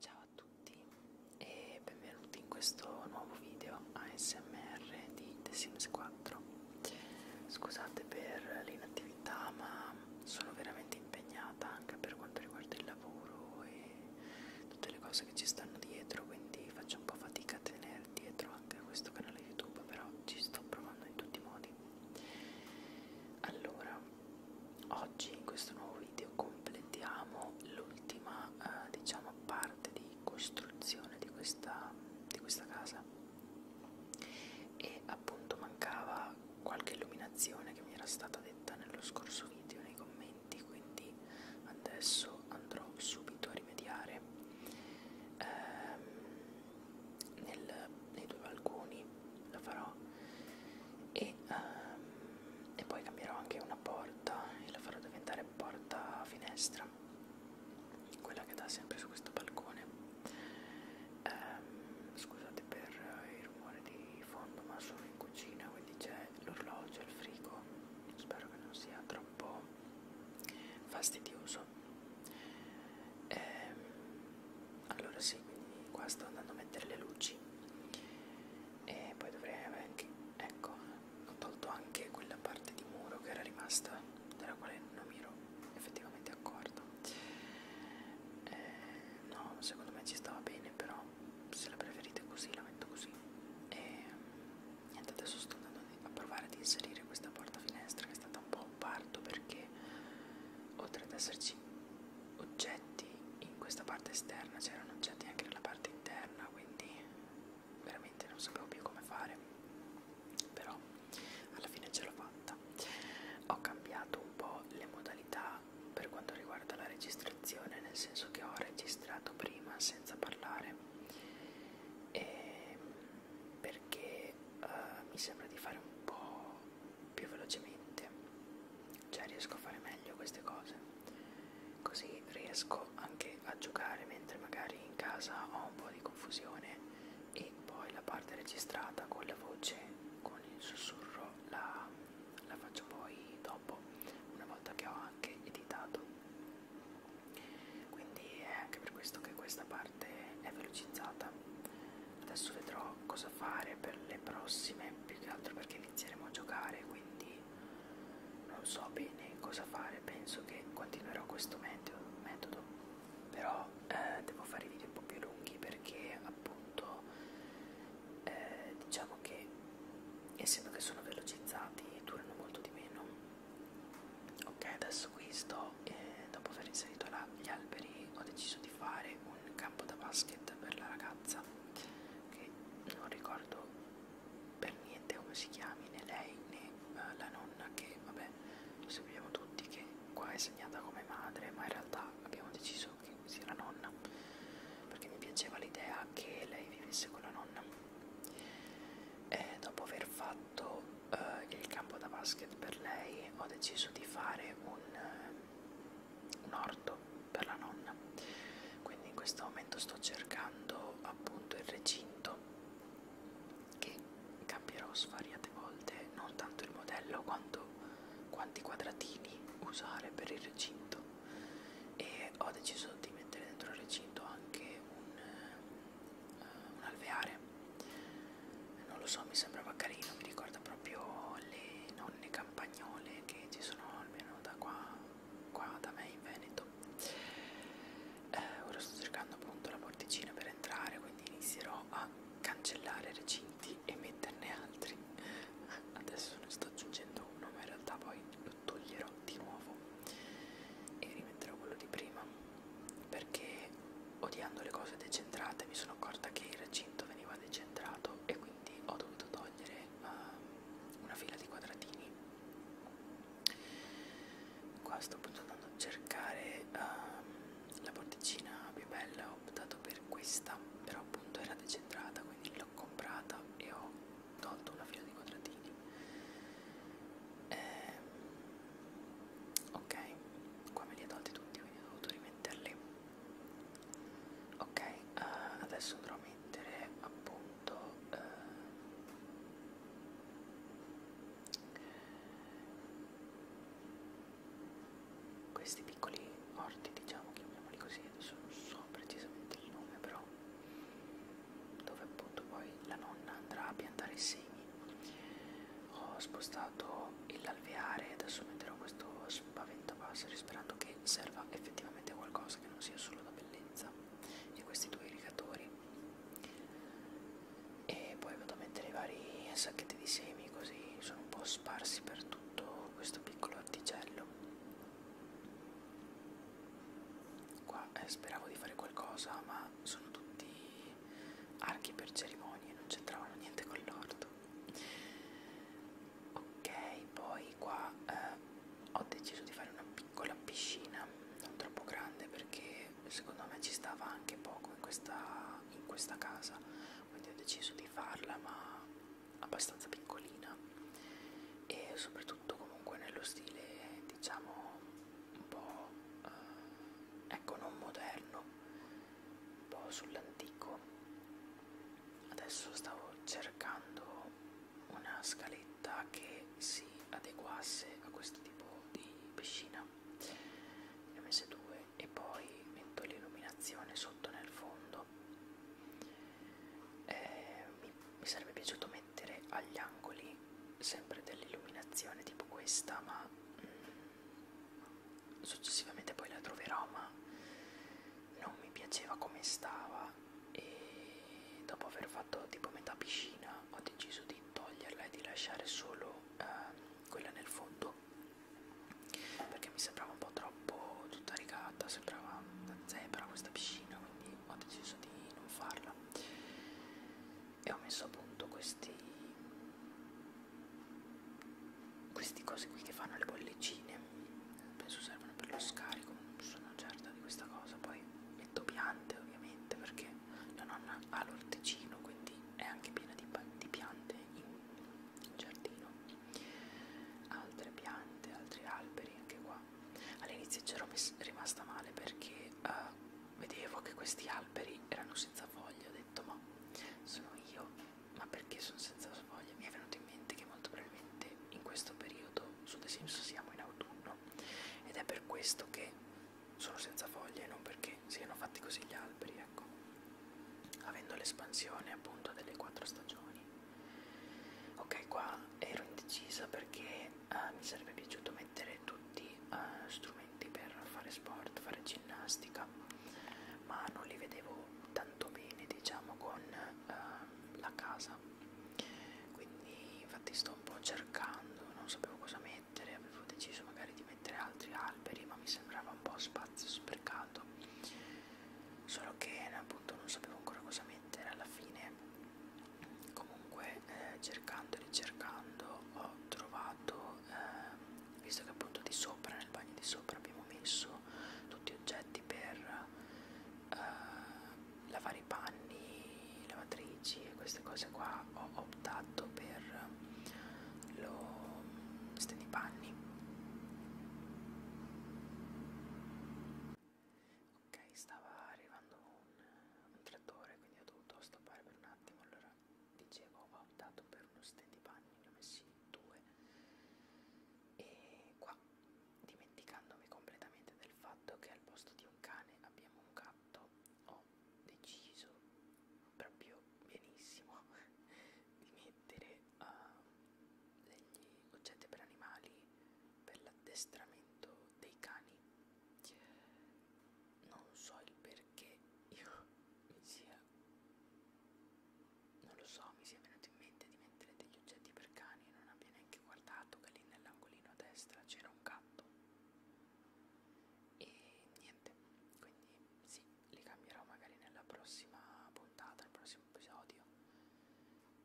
Ciao a tutti e benvenuti in questo nuovo video ASMR di The Sims 4. Scusate per l'inattività ma sono veramente impegnata anche per quanto riguarda il lavoro e tutte le cose che ci stanno dietro, quindi faccio un po' fatica a tenere dietro anche questo canale YouTube, però ci sto provando in tutti i modi. Allora, oggi in questo nuovo video completiamo l'ultima eh, diciamo parte di costruzione di questa, di questa casa e appunto mancava qualche illuminazione che mi era stata detta nello scorso video nei commenti quindi adesso andrò subito a rimediare ehm, nel, nei due balconi la farò e, um, e poi cambierò anche una porta e la farò diventare porta finestra quella che dà sempre su questo balcone um, scusate per il rumore di fondo ma sono in cucina quindi c'è l'orologio il frigo spero che non sia troppo fastidioso ehm, allora sì quindi qua sto andando a mettere le luci e poi dovrei avere anche ecco ho tolto anche quella parte di muro che era rimasta della quale non mi ero effettivamente accorto eh, no secondo me ci stava bene però se la preferite così la metto così e niente adesso sto andando a provare ad inserire questa porta finestra che è stata un po' un parto perché oltre ad esserci oggetti in questa parte esterna c'erano oggetti anche nella parte interna quindi veramente non sapevo più come fare però alla fine ce l'ho fatta ho cambiato un po' le modalità per quanto riguarda la registrazione nel senso che ho registrato prima senza parlare e ehm, perché uh, mi sembra di fare un po' più velocemente, cioè riesco a fare meglio queste cose, così riesco anche a giocare mentre magari in casa ho un po' di confusione e poi la parte registrata con la voce, con il sussurro, la, la faccio poi dopo, una volta che ho anche editato. Quindi è anche per questo che questa parte parte è velocizzata adesso vedrò cosa fare per le prossime più che altro perché inizieremo a giocare quindi non so bene cosa fare penso che continuerò questo metodo, metodo. però eh, devo fare video un po' più lunghi perché appunto eh, diciamo che essendo che sono velocizzati durano molto di meno ok adesso qui sto eh, dopo aver inserito la, gli alberi ho deciso di fare un campo da basket per la ragazza che non ricordo per niente come si chiami né lei né uh, la nonna che vabbè lo sappiamo tutti che qua è segnata come madre ma in realtà abbiamo deciso che sia la nonna perché mi piaceva l'idea che lei vivesse con la nonna e eh, dopo aver fatto eh, il campo da basket per lei ho deciso di fare un, eh, un orto per la nonna quindi in questo momento sto cercando appunto il recinto che cambierò svariate volte non tanto il modello quanto quanti quadratini usare per il recinto e ho deciso di mettere dentro il recinto anche un, eh, un alveare non lo so mi sembrava carino mi ricorda proprio le nonne campagnole che ci sono almeno da qua, qua da me in Veneto eh, ora sto cercando appunto la porticina per entrare quindi inizierò a cancellare recinti e metterne altri adesso ne sto aggiungendo uno ma in realtà poi lo toglierò di nuovo e rimetterò quello di prima perché odiando le cose decentrate mi sono accorta che il recinto veniva decentrato e quindi ho dovuto togliere uh, una fila di quadratini. Qua sto appunto andando a cercare uh, la porticina più bella, ho optato per questa, però appunto era decentrata, quindi l'ho comprata e ho tolto una fila di quadratini eh, ok qua me li ha tolti tutti quindi ho dovuto rimetterli ok uh, adesso andrò a mettere appunto uh, questi piccoli orti diciamo chiamiamoli così adesso non so precisamente il nome però dove appunto poi la nonna andrà a piantare i semi ho spostato l'alveare adesso metterò questo spaventapasseri sperando che serva effettivamente a qualcosa che non sia solo da bellezza e questi due irrigatori e poi vado a mettere i vari sacchetti di semi così sono un po' sparsi per tutto questo piccolo articello Qua eh, speravo di fare qualcosa, ma sono tutti archi per cerimonie, non c'entravano niente con l'orto. Ok, poi qua eh, ho deciso di fare una piccola piscina, non troppo grande perché secondo me ci stava anche poco in questa, in questa casa, quindi ho deciso di farla ma abbastanza piccolina e soprattutto comunque nello stile diciamo un po' eh, ecco non moderno un po' sull'antico adesso stavo cercando una scaletta che si adeguasse a questo tipo di piscina ne ho messe due e poi metto l'illuminazione sotto nel fondo eh, mi, mi sarebbe piaciuto mettere agli angoli sempre dell'illuminazione tipo questa ma mm, successivamente poi la troverò ma non mi piaceva come stava e dopo aver fatto tipo metà piscina ho deciso di toglierla e di lasciare solo eh, quella nel fondo perché mi sembrava un po' troppo tutta rigata sembrava una zebra questa piscina quindi ho deciso di non farla e ho messo a punto questi queste cose qui che fanno le bollicine penso servono per lo scarico sono certa di questa cosa poi metto piante ovviamente perché la nonna ha l'orticino quindi è anche piena di, di piante in, in giardino altre piante altri alberi anche qua qua. All'inizio c'ero rimasta male perché uh, vedevo che questi alberi erano senza foglie. Ho detto, ma sono io, ma perché sono senza foglie? Mi è venuto in mente che molto probabilmente in questo periodo su The Sims siamo in autunno ed è per questo che sono senza foglie, non perché siano fatti così gli alberi, ecco. Avendo l'espansione appunto delle quattro stagioni ok qua ero indecisa perché uh, mi sarebbe piaciuto mettere tutti uh, strumenti per fare sport fare ginnastica ma non li vedevo tanto bene diciamo con uh, la casa quindi infatti sto un po' cercando non sapevo cosa mettere avevo deciso magari di mettere altri alberi ma mi sembrava un po' spazio sprecato solo che appunto non sapevo ancora cosa mettere alla fine comunque eh, cercando e ricercando ho trovato eh, visto che appunto di sopra nel bagno di sopra abbiamo messo tutti oggetti per eh, lavare i panni lavatrici e queste cose qua ho optato per lo stendi panni ok stava arrivando un, un trattore quindi ho dovuto stoppare per un attimo allora dicevo ho optato per uno stand di bagno ne ho messi due e qua dimenticandomi completamente del fatto che al posto di un cane abbiamo un gatto ho deciso proprio benissimo di mettere uh, degli oggetti per animali per l'addestramento dei cani non so il perché io mi sia non lo so mi sia venuto in mente di mettere degli oggetti per cani non abbia neanche guardato che lì nell'angolino a destra c'era un gatto e niente quindi sì li cambierò magari nella prossima puntata, nel prossimo episodio.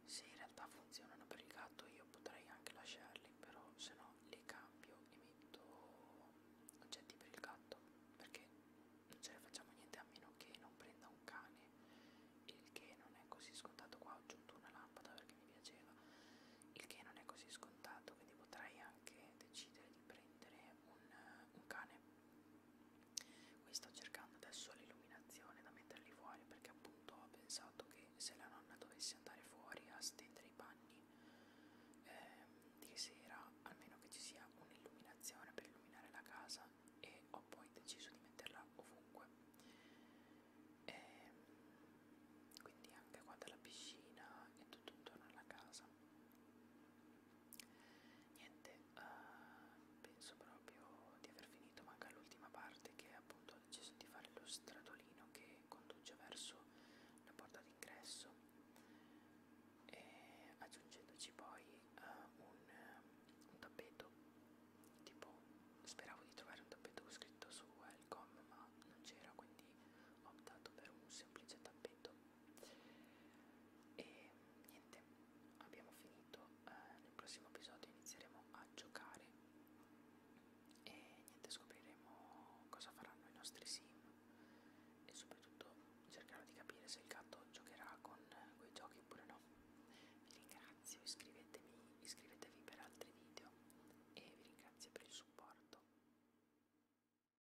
Se in realtà funzionano per il gatto io potrei anche lasciarli, però se no li cambio e metto oggetti per il gatto, perché non ce ne facciamo niente a meno che non prenda un cane, il che non è così scontato qua, ho aggiunto una lampada perché mi piaceva, il che non è così scontato, quindi potrei anche decidere di prendere un, un cane Qui sto cercando adesso l'illuminazione da metterli fuori perché appunto ho pensato che se la nonna dovesse andare fuori a stendere i panni ehm, di sera, almeno che ci sia un'illuminazione per illuminare la casa e ho poi deciso di metterla ovunque. Ehm, quindi anche qua dalla piscina e tutto intorno alla casa niente uh, penso proprio di aver finito manca l'ultima parte che appunto ho deciso di fare lo stradolino che conduce verso la porta d'ingresso e aggiungendoci poi uh, un, un tappeto tipo speravo di trovare un tappeto scritto su welcome ma non c'era quindi ho optato per un semplice tappeto e niente abbiamo finito eh, nel prossimo episodio inizieremo a giocare e niente scopriremo cosa faranno i nostri sim e soprattutto cercherò di capire se il gatto giocherà con quei giochi oppure no vi ringrazio iscrivetemi iscrivetevi per altri video e vi ringrazio per il supporto